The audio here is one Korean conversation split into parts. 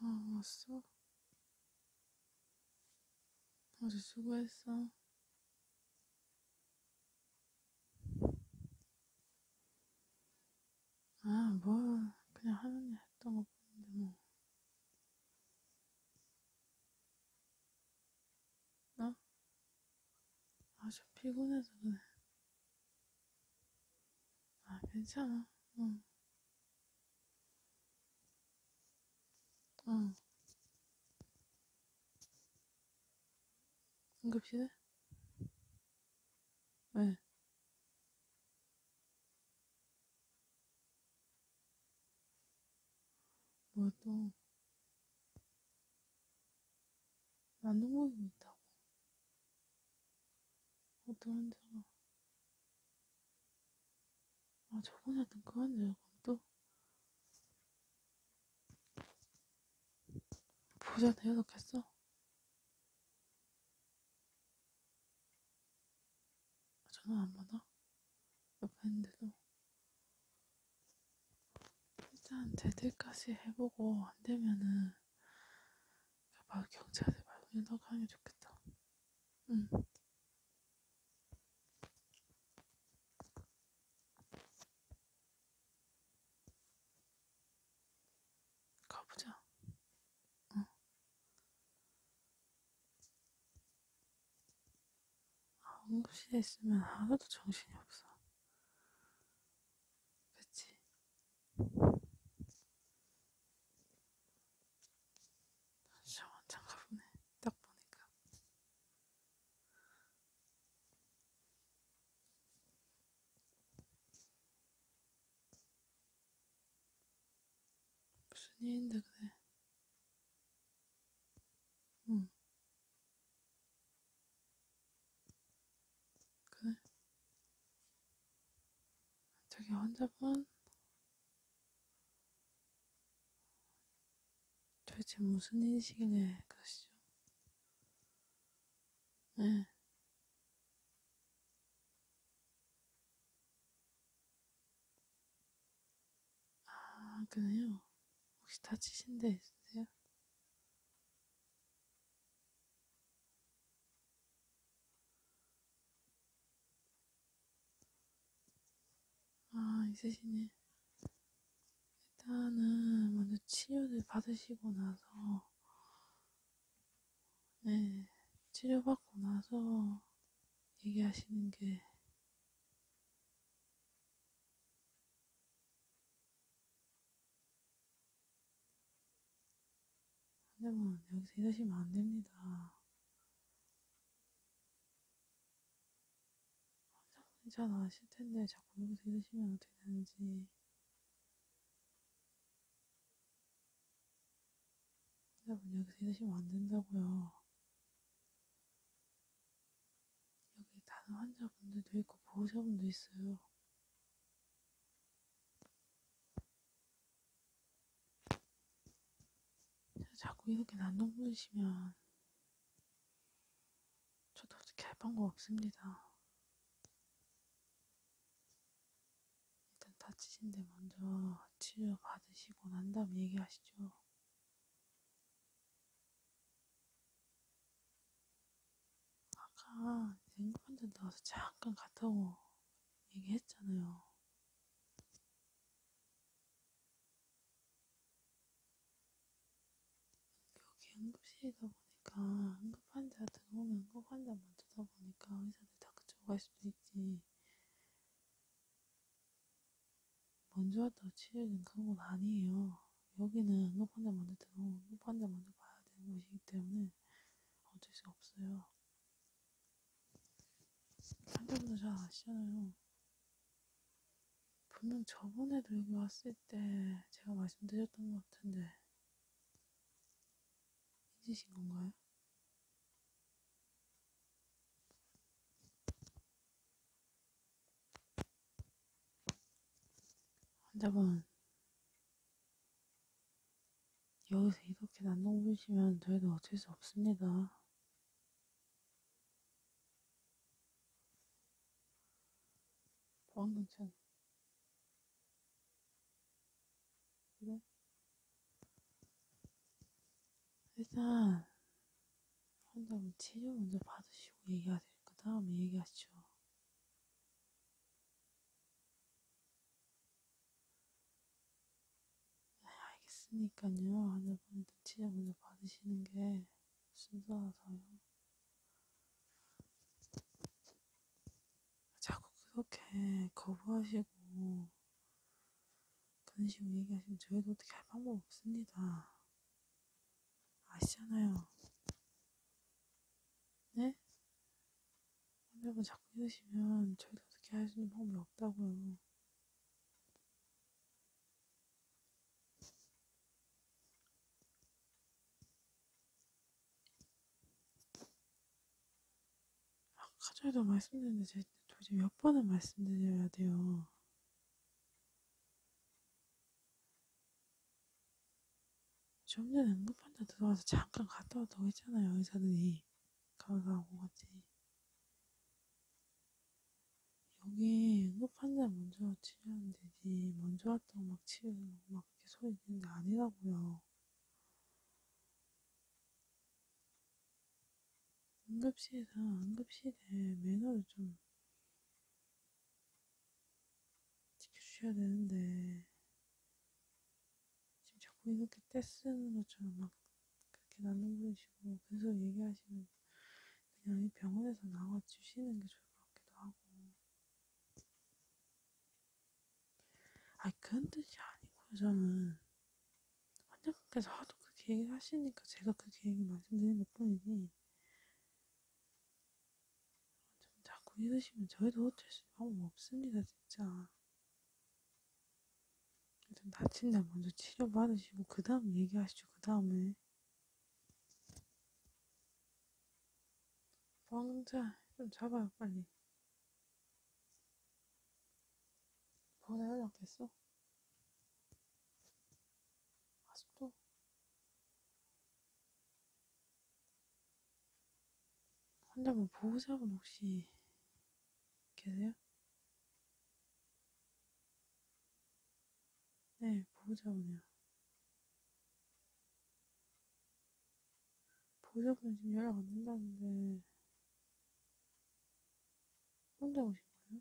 아, 왔어? 아주 수고했어. 아, 뭐, 그냥 하는 일 했던 거 보는데, 뭐. 어? 아, 좀 피곤해서 그래. 아, 괜찮아. 응. 응. 응급실에? 왜? 뭘 또, 만든 것도 있다고. 어떤 사람. 아, 저번에 하던 그건 내가 또, 보자, 대여섯 했어. 전화 안 받아? 옆에 있는데도 일단 대들까지 해보고 안 되면은 바로 경찰에 말로 연락하는 게 좋겠다. 응. 가보자. 응급실에 있으면 하루도 정신이 없어. 그치? 진짜 완전 가보네. 딱 보니까. 무슨 일인데 그래? 응. 그래. 저기 환자분? 도대체 무슨 일이시길래 그러시죠? 네. 아, 그래요? 혹시 다치신 데 있으세요? 아, 있으시네. 일단은 먼저 치료를 받으시고 나서, 네, 치료받고 나서 얘기하시는 게 하지만 여기서 일하시면 안 됩니다. 환자분이 잘 아실 텐데 자꾸 여기서 일하시면 어떻게 되는지 여러분 여기서 이러시면 안 된다고요. 여기 다른 환자분들도 있고 보호자분도 있어요. 자꾸 이렇게 난동 부리시면 저도 어떻게 할 방법 없습니다. 일단 다치신데 먼저 치료 받으시고 난 다음에 얘기하시죠. 아까 생방전 나와서 잠깐 갔다 오고 얘기했잖아요. 여기 응급실이다 보니까 응급환자 들어오면 응급환자만 쳐다보니까 의사들 다 그쪽으로 갈 수도 있지. 먼저 왔다고 치료는 그런 건 아니에요. 여기는 녹 환자 먼저 들어오고 녹 환자 먼저 봐야 되는 곳이기 때문에 어쩔 수 없어요. 환자분들 잘 아시잖아요. 분명 저번에도 여기 왔을 때 제가 말씀드렸던 것 같은데 잊으신 건가요? 환자분 여기서 이렇게 난동 부리시면 저희도 어쩔 수 없습니다. 보안경찰 그래? 일단 한다음 치료 먼저 받으시고 얘기하세요. 그 다음에 얘기하시죠. 네, 알겠으니까요. 환자분들 치료 먼저 받으시는 게 순서라서요. 자꾸 그렇게 거부하시고 그런 식으로 얘기하시면 저희도 어떻게 할 방법 없습니다. 아시잖아요. 네? 여러분 자꾸 이러시면 저희도 어떻게 할 수 있는 방법이 없다고요. 아까 전에도 말씀드렸는데 제가 도대체 몇 번을 말씀드려야 돼요. 좀 전에 응급환자 들어와서 잠깐 갔다 왔다고 했잖아요, 의사들이. 가가고 같이. 여기 응급환자 먼저 치료하면 되지. 먼저 왔다고 막 치우고 막 이렇게 소리 지는데 아니라고요. 응급실에서 응급실에 매너를 좀 지켜주셔야 되는데 지금 자꾸 이렇게 떼쓰는 것처럼 막 그렇게 나눠부리시고 계속 얘기하시면 그냥 이 병원에서 나와주시는 게 좋을 것 같기도 하고 아니 그런 뜻이 아니고요 저는 환자분께서 하도 그 계획을 하시니까 제가 그 계획을 말씀드리는 것 뿐이니 좀 자꾸 이러시면 저희도 어쩔 수 있는 방법 뭐 없습니다 진짜 일단 다친 날 먼저 치료받으시고 그 다음 얘기하시죠 그 다음에 왕자 좀 잡아요 빨리 전화 연락됐어? 아직도? 환자분 보호자분 혹시 계세요? 네, 보호자분이요. 보좌분이 지금 연락 안 된다는데 혼자 오신 거예요?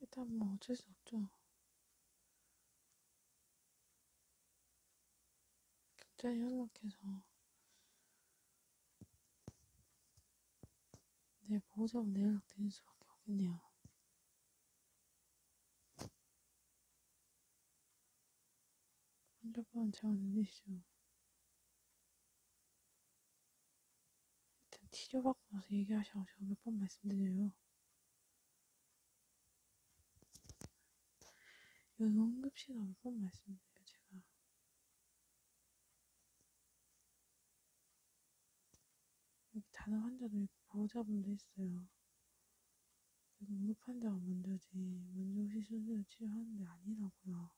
일단 뭐 어쩔 수 없죠. 갑자기 연락해서 내 네, 보호자분 연락 드릴 수밖에 없겠네요. 환자분 제가 늘리시죠. 일단 치료받고 나서 얘기하셔서 제가 몇 번 말씀드려요. 여기 응급실 나올 뻔 말씀드려요, 제가. 여기 단어 환자들 보호자분도 있어요. 응급환자가 먼저지 먼저 호시 수술을 치료하는 게 아니라고요.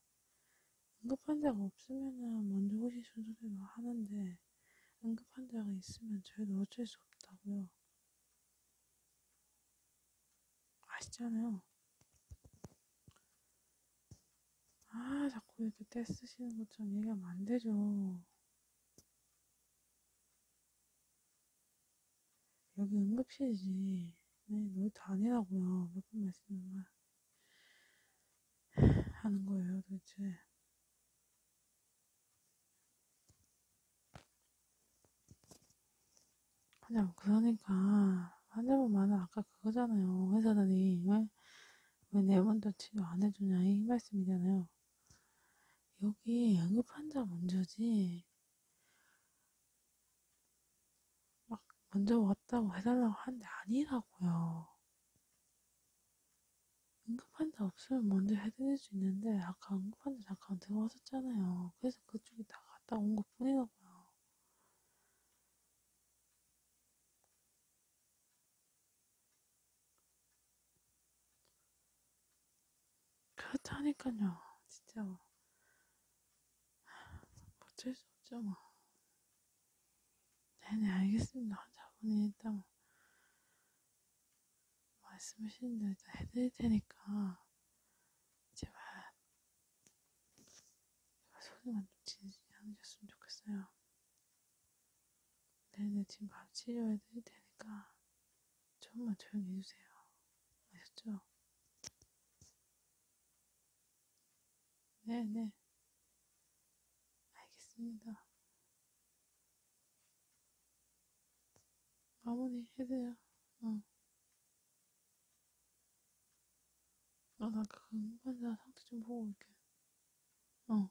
응급환자가 없으면은 먼저 호시 수술을 하는데 응급환자가 있으면 저희도 어쩔 수 없다고요. 아시잖아요. 아, 자꾸 이렇게 떼 쓰시는 것처럼 얘기하면 안 되죠. 여기 응급실이지. 네, 놀다 아니라고요. 몇번 말씀을 말 하는 거예요, 도대체. 그냥 그러니까 환자분 많아 아까 그거잖아요. 회사다니 왜, 왜 내분도 치료 안 해주냐 이 말씀이잖아요. 여기 응급환자 문제지. 막 먼저 왔다고 해달라고 하는데 아니라고요. 응급환자 없으면 먼저 해드릴 수 있는데 아까 응급환자 잠깐 들어왔었잖아요. 그래서 그쪽에 나갔다 온 것 뿐이라고요. 그렇다니까요. 진짜 뭐. 어쩔 수 없죠, 뭐. 네네, 네, 알겠습니다. 자분이 일단 뭐. 말씀하신 대로 일단 해드릴 테니까 제발 소리만 좀 지르지 않으셨으면 좋겠어요. 네네, 지금 바로 치료해드릴 테니까 조금만 조용히 해주세요. 아셨죠? 네네. 알겠습니다. 마무리 해드려. 응. 어. 아, 나 금반사 상태 좀 보고 올게. 어.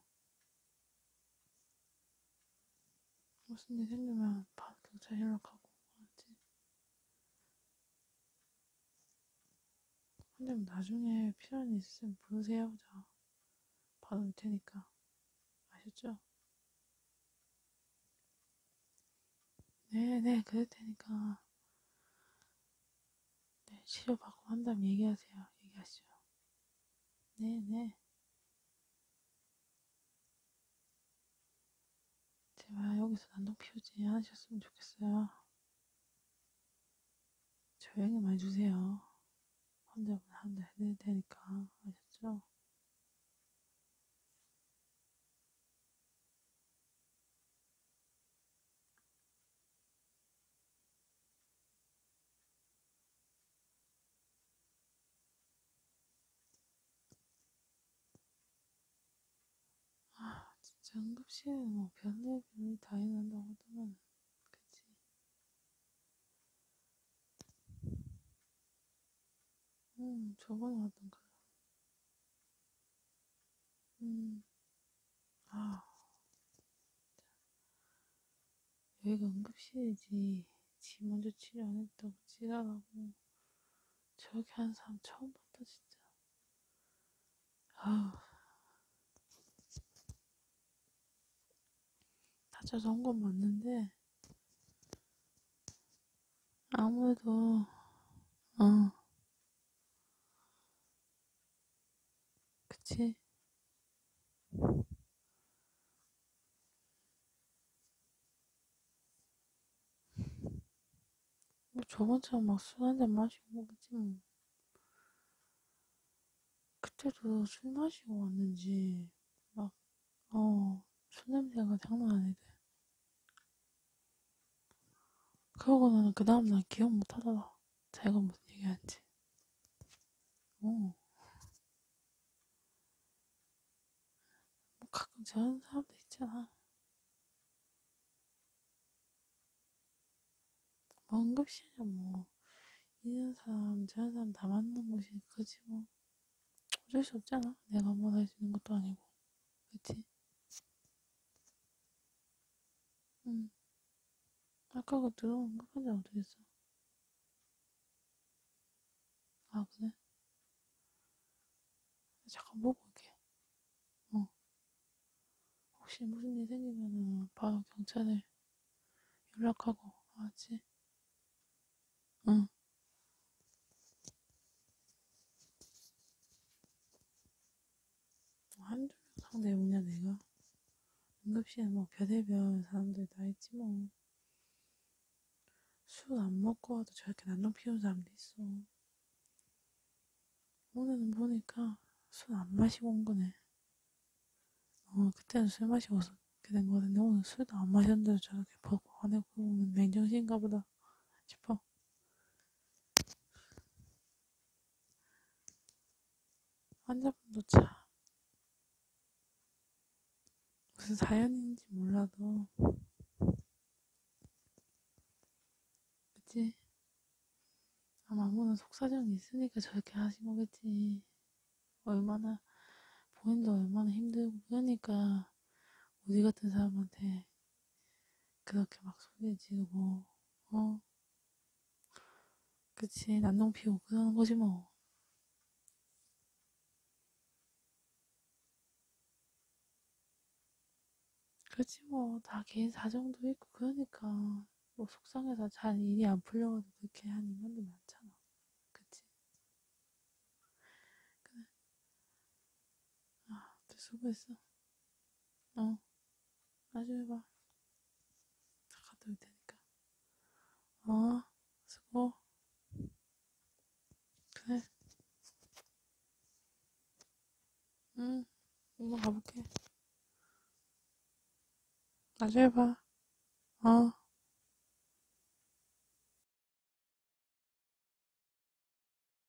무슨 일 생기면 바로 경찰 연락하고, 알았지? 근데 나중에 필요한 일 있으면 부르세요, 자. 바로 올 테니까. 아셨죠? 네네, 네, 그럴 테니까. 네, 치료받고 한다면 얘기하세요. 얘기하시죠. 네, 네. 제발 여기서 난동 피우지 않으셨으면 좋겠어요. 조용히 말해주세요. 환자분 한대 해드릴 테니까. 아셨죠? 아, 진짜 응급실에 뭐 변대 변이 다 일어난다고 하더만 그치? 응, 음, 저번에 왔던 거. 음. 아. 여기가 응급실이지. 지 먼저 치료 안 했다고 지랄하고. 저렇게 하는 사람 처음 봤다, 진짜. 아우. 다쳐서 한 건 맞는데, 아무래도, 어, 그치? 뭐 저번처럼 막 술 한잔 마시고 그지 뭐. 그때도 술 마시고 왔는지 막어술 냄새가 장난 아니대 그러고는 그 다음날 기억 못 하더라. 자기가 무슨 얘기한지. 오. 뭐 가끔 저런 사람도 있잖아. 뭐 응급실이야, 뭐. 이런 사람, 저런 사람 다 맞는 곳이 그지 뭐. 어쩔 수 없잖아. 내가 뭘 뭐 할 수 있는 것도 아니고. 그치? 응. 음. 아까 그 들어온 끝까지 어떻게 했어? 아, 그래? 잠깐 보고 올게. 어. 혹시 무슨 일 생기면은 바로 경찰에 연락하고, 알았지? 응. 뭐 한두 명 상대 뭐냐 내가 응급실에 뭐 별의별 사람들 다 있지 뭐술 안 먹고 와도 저렇게 난동 피우는 사람도 있어 오늘은 보니까 술 안 마시고 온 거네 어 그때는 술 마시고 그렇게 된 거는데 오늘 술도 안 마셨는데 저렇게 버벅 안에 보면 맨정신인가 보다 싶어 환자분도 참 무슨 사연인지 몰라도 그치? 아마 아무나 속사정이 있으니까 저렇게 하신 거겠지 얼마나 본인도 얼마나 힘들고 그러니까 우리 같은 사람한테 그렇게 막 소리 지르고, 어? 그치, 난동 피우고 그러는 거지 뭐. 그렇지 뭐다 개인 사정도 있고 그러니까 뭐 속상해서 잘 일이 안 풀려가지고 그렇게 한 인간도 많잖아 그치 그래 아 수고했어 어, 나중에 봐. 다 갔다 올 테니까. 어, 수고. 그래. 응, 엄마 가볼게. 나중에 봐. 어.